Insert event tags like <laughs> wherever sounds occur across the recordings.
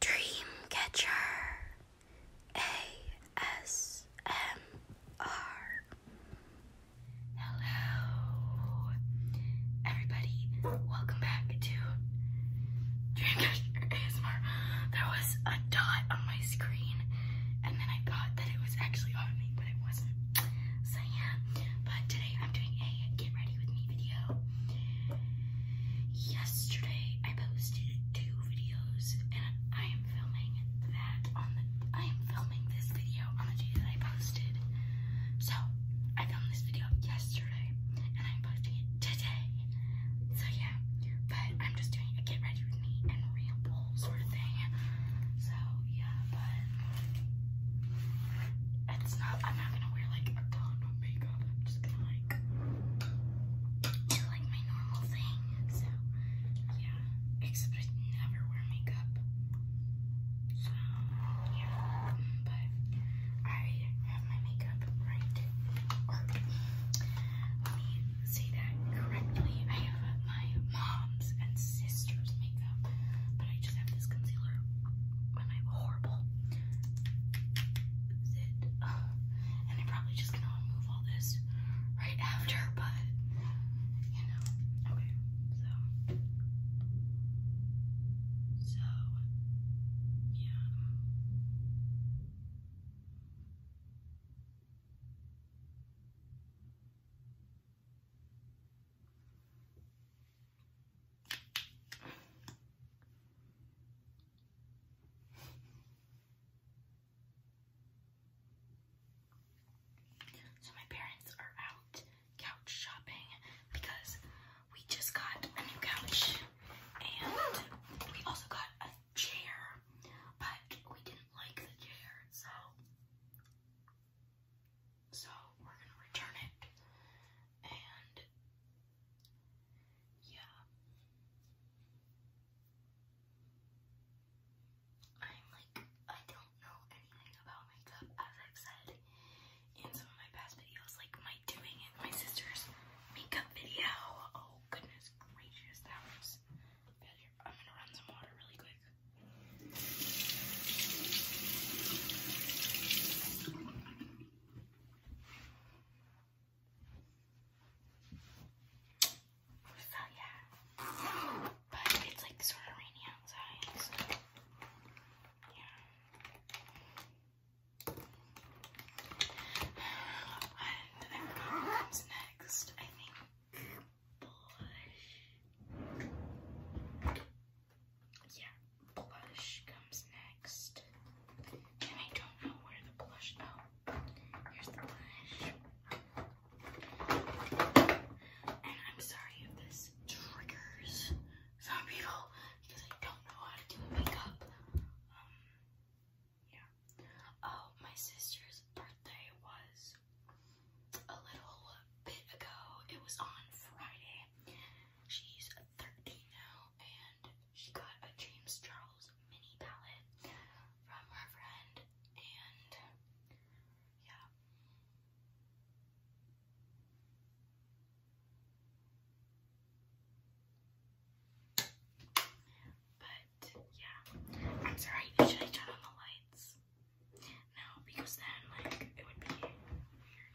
Dreamcatcher ASMR. Hello, everybody. Welcome back to Dreamcatcher ASMR. There was a dot on my screen, and then I thought that it was actually on me, but it wasn't. So yeah, but today I'm doing a get ready with me video yesterday I posted two videos and I am filming that on the I am filming this video on the day that I posted. So I filmed this video yesterday and I'm posting it today. So yeah, but I'm just doing a get ready with me and real bowl sort of thing. So yeah, but it's not I'm not gonna wear like a coat makeup. I'm just gonna like do like my normal thing. So yeah, except I never wear makeup. So yeah, but I have my makeup right. let me say that correctly. I have my mom's and sister's makeup, but I just have this concealer. Am I horrible? and I'm probably just gonna remove all this right after, but you know. Okay, so. So, yeah. So my parents are out couch shopping because we just got a new couch and we also got a chair, but we didn't like the chair, so so we're gonna return it and yeah. I'm like I don't know anything about makeup as I've said in some of my past videos, like my doing it my sister's makeup video. Oh goodness gracious, that was failure. I'm gonna run some water really quick. So yeah, but it's like sort of rainy outside, so yeah. <sighs> And I forgot what comes next. I think blush yeah, blush comes next. And I don't know where the blush, oh, here's the blush. And I'm sorry if this triggers some people because I don't know how to do makeup. Um, yeah. Oh, my sister's birthday was a little bit ago. It was on Friday. She's 13 now, and she got a James Charles mini palette from her friend, and yeah. But yeah, I'm sorry. Should I turn on the lights? No, because then like it would be weird.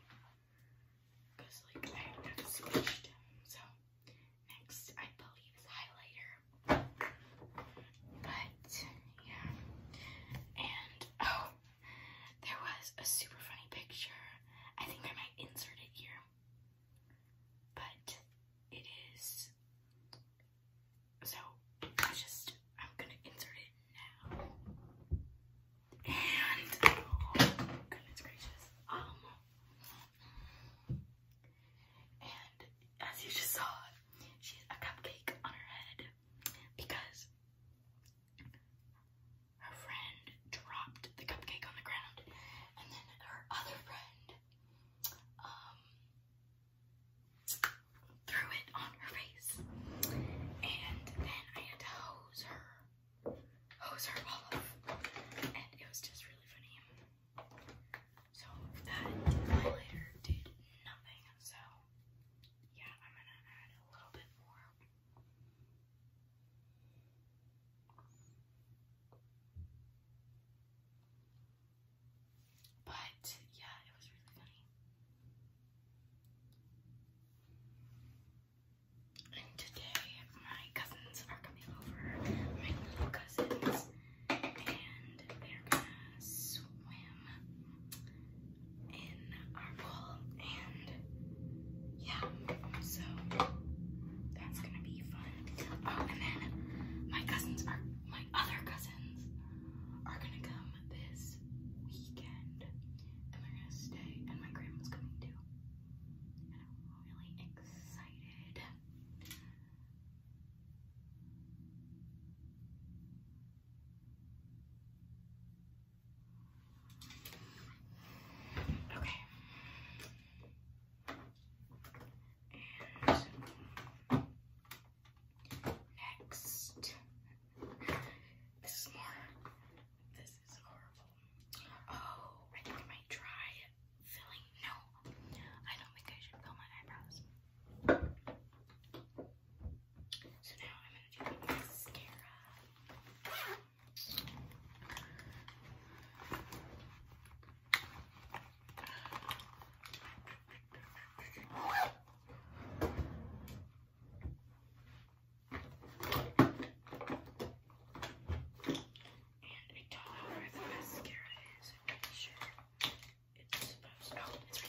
Because like I have squished. So next I believe is highlighter. But yeah. And oh there was a super funny picture. I think I might insert it here. But it is so, I just I'm gonna insert it now. And oh goodness gracious. Um and as you just saw, she has a cupcake on her head because her friend dropped the cupcake on the ground and then her other friend um threw it on her face. And then I had to hose her, hose her off. And it was just really funny. So that highlighter did nothing. So yeah, I'm gonna add a little bit more. But yeah, it was really funny. And today my cousins are coming over, my little cousins, and they're gonna swim in our pool. And yeah, so that's gonna be fun. Oh, and then my cousins are, my other cousins are gonna come this weekend, and we're gonna stay. And my grandma's coming too, and I'm really excited. Okay. Next. This is more. This is horrible. Oh, I think I might try filling. No, I don't think I should fill my eyebrows. So now I'm going to do the mascara. And I don't the mascara is. I'm pretty sure it's supposed to.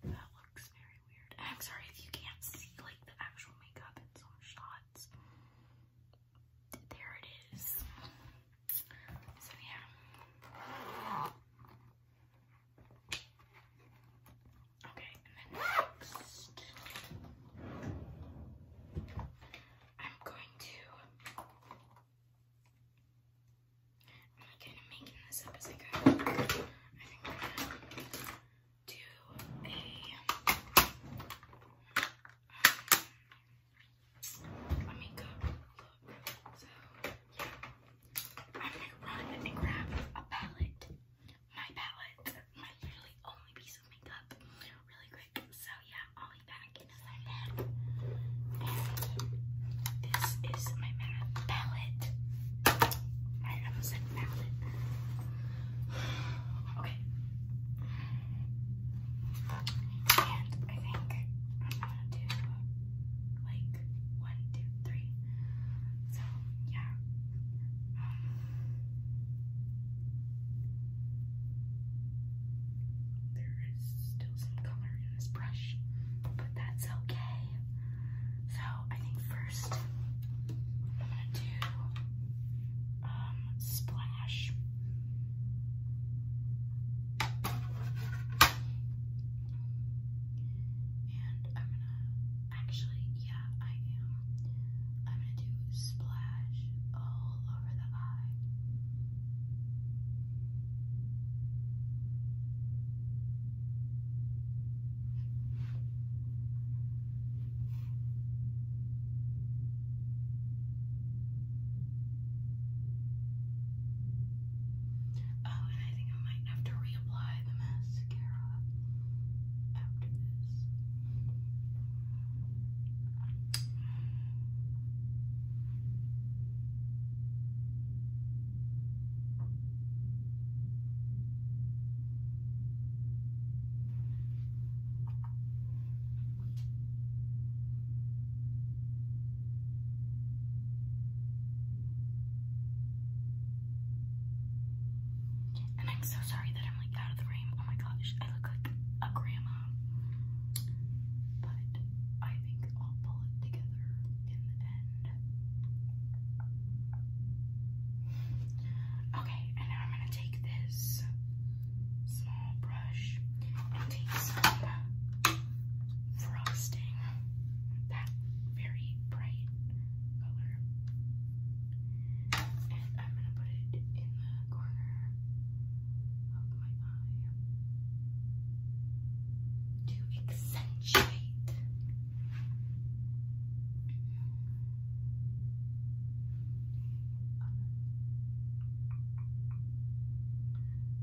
Okay. That looks very weird. I'm sorry if you can't see like the actual makeup in some shots. There it is. So yeah. Okay, and next, I'm going to, I'm kind of making this up as I go. I think I'm going to do a, um, let me go so, yeah. I'm gonna run and grab a palette. My palette. My literally only piece of makeup. Really quick. So, yeah, I'll be back in a second. this is my palette. I almost said palette. Okay. And I think I'm gonna do like one, two, three. So yeah. there is still some color in this brush, but that's okay. So I think first I'm gonna do um splash. And I'm gonna, actually, yeah, I am. I'm gonna do splash all over the eye. Okay. Oh, and I think I might have to reapply the mascara after this. Okay. And I'm so sorry that I'm like out of the frame. Oh my gosh, I look like a grandma. But I think I'll pull it together in the end. Okay, and now I'm gonna take this small brush and take some frosting. That very bright color. I'm going to put it in the corner of my eye to accentuate.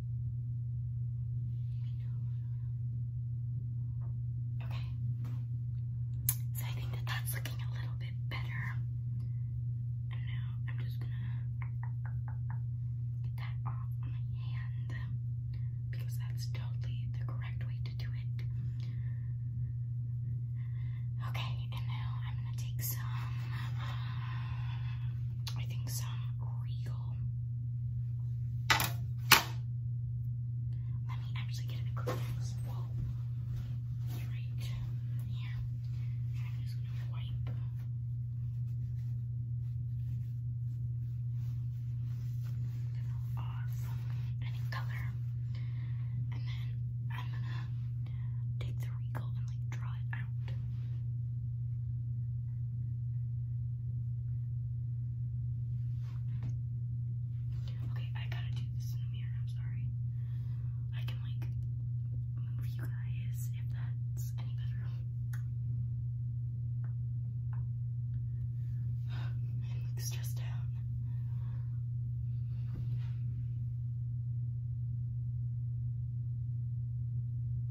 Okay. So I think that that's looking a little bit better. And now I'm just gonna get that off my hand because that's totally the correct way to do it. Okay, and now I'm gonna take some. I think some Regal. Let me actually get it close. Whoa. right here. I'm just gonna wipe. Off any color, and then I'm gonna take the Regal and like draw it Okay, I gotta do this in the mirror, I'm sorry. I can like move you guys if that's any better. I'm <sighs> stressed out.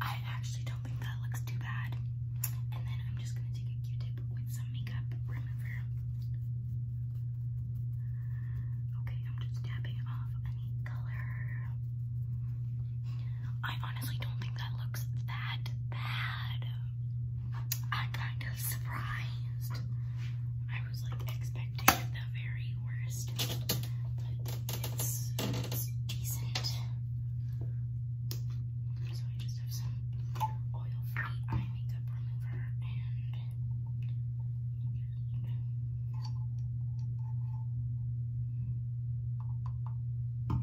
I actually don't think that looks too bad. And then I'm just gonna take a Q-tip with some makeup remover. Okay, I'm just dabbing off any color. I honestly don't think that looks that bad. I kind of surprised. I was like expecting the very worst, but it's, decent. So I just have some oil-free eye makeup remover and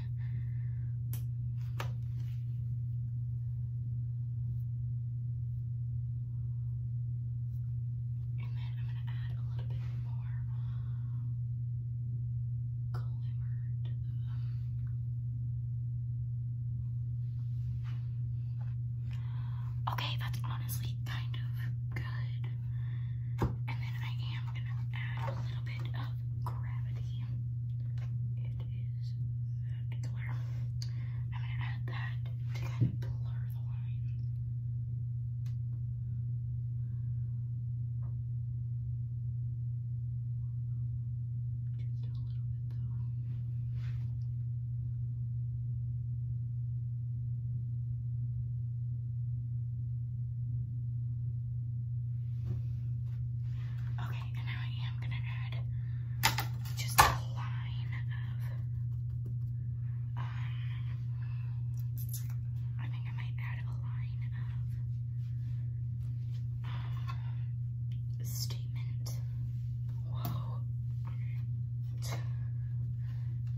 And then I'm going to add a little bit more glimmer Okay, that's honestly kind of good. And then I am going to add a little bit of gravity. It is that color. I'm going to add that to kind of blur the lines. Just a little bit though. Okay, and now I am gonna add just a line of, um, I think I might add a line of, um, statement. Whoa.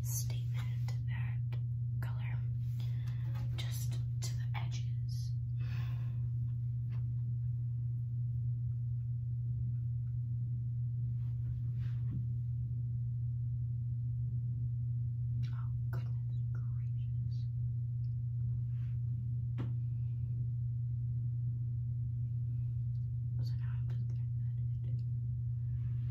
Statement that color just to the edges. Oh, goodness gracious. So now I'm just gonna add it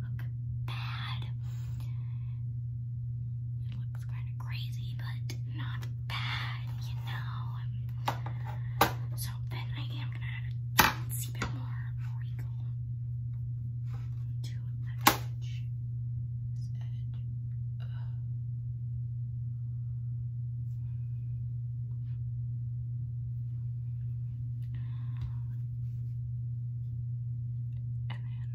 look bad. It looks kind of crazy, but not bad, you know. So then I am gonna add a teensy bit more treacle to the edge. This edge. Ugh. Okay, and then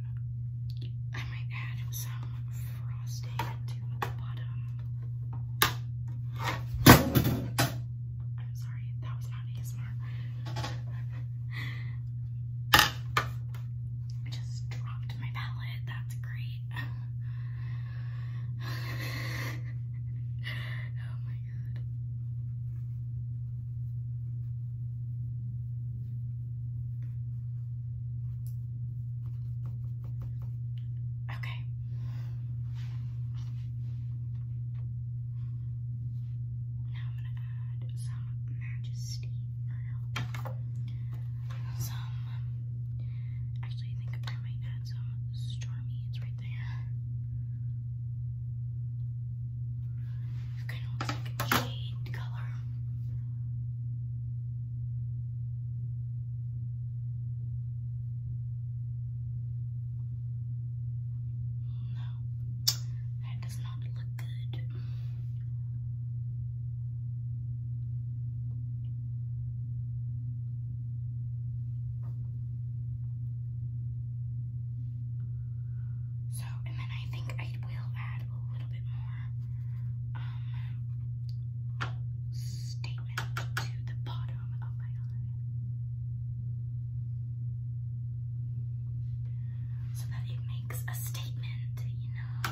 I might add some frosting to the bottom. I'm sorry, that was not ASMR. I just dropped my palette. That's great. <laughs> oh my god. Okay. Now I'm gonna add some majesty or no. Some actually I think I might add some stormy. It's right it kind of looks like a jade color. No, that does not look good. So, and then I think I will add a little bit more um, statement to the bottom of my eye. So that it makes a statement, you know.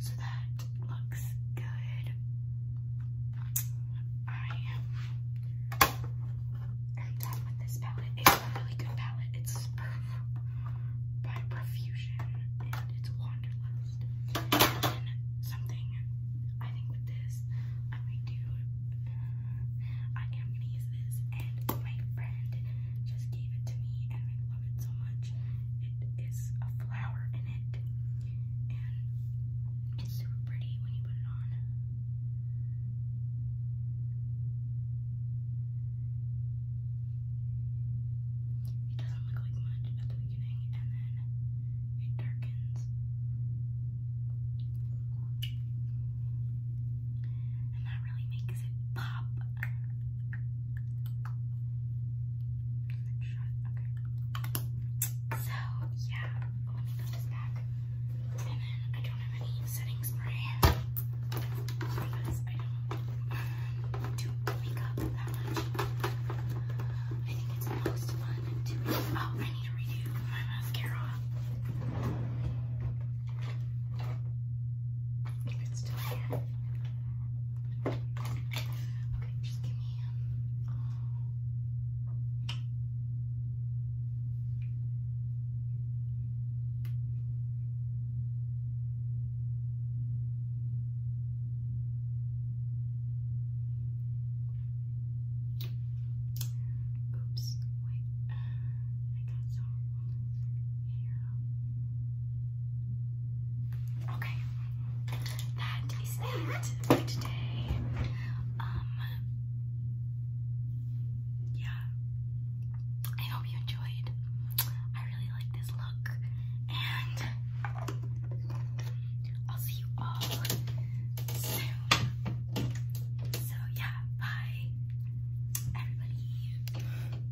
So that looks good. I am done with this palette. It's a really good palette. It's by Profusion and it's Wanderlust. something I think with this I might do. Uh, I am going this, and my friend just gave it to me, and I love it so much it is a flower in it, and it's super pretty when you put it on. It doesn't look like much at the beginning, and then it darkens. And that really makes it pop. So, yeah, let me put this back. And then I don't have any setting spray I don't do makeup I think it's most fun to Oh, I need to redo my mascara. It's still here. Okay, just give me Oops, wait, uh, I got some hair Okay, that is that for today. Um, yeah, I hope you enjoyed. I really like this look, and I'll see you all soon. So yeah, bye, everybody.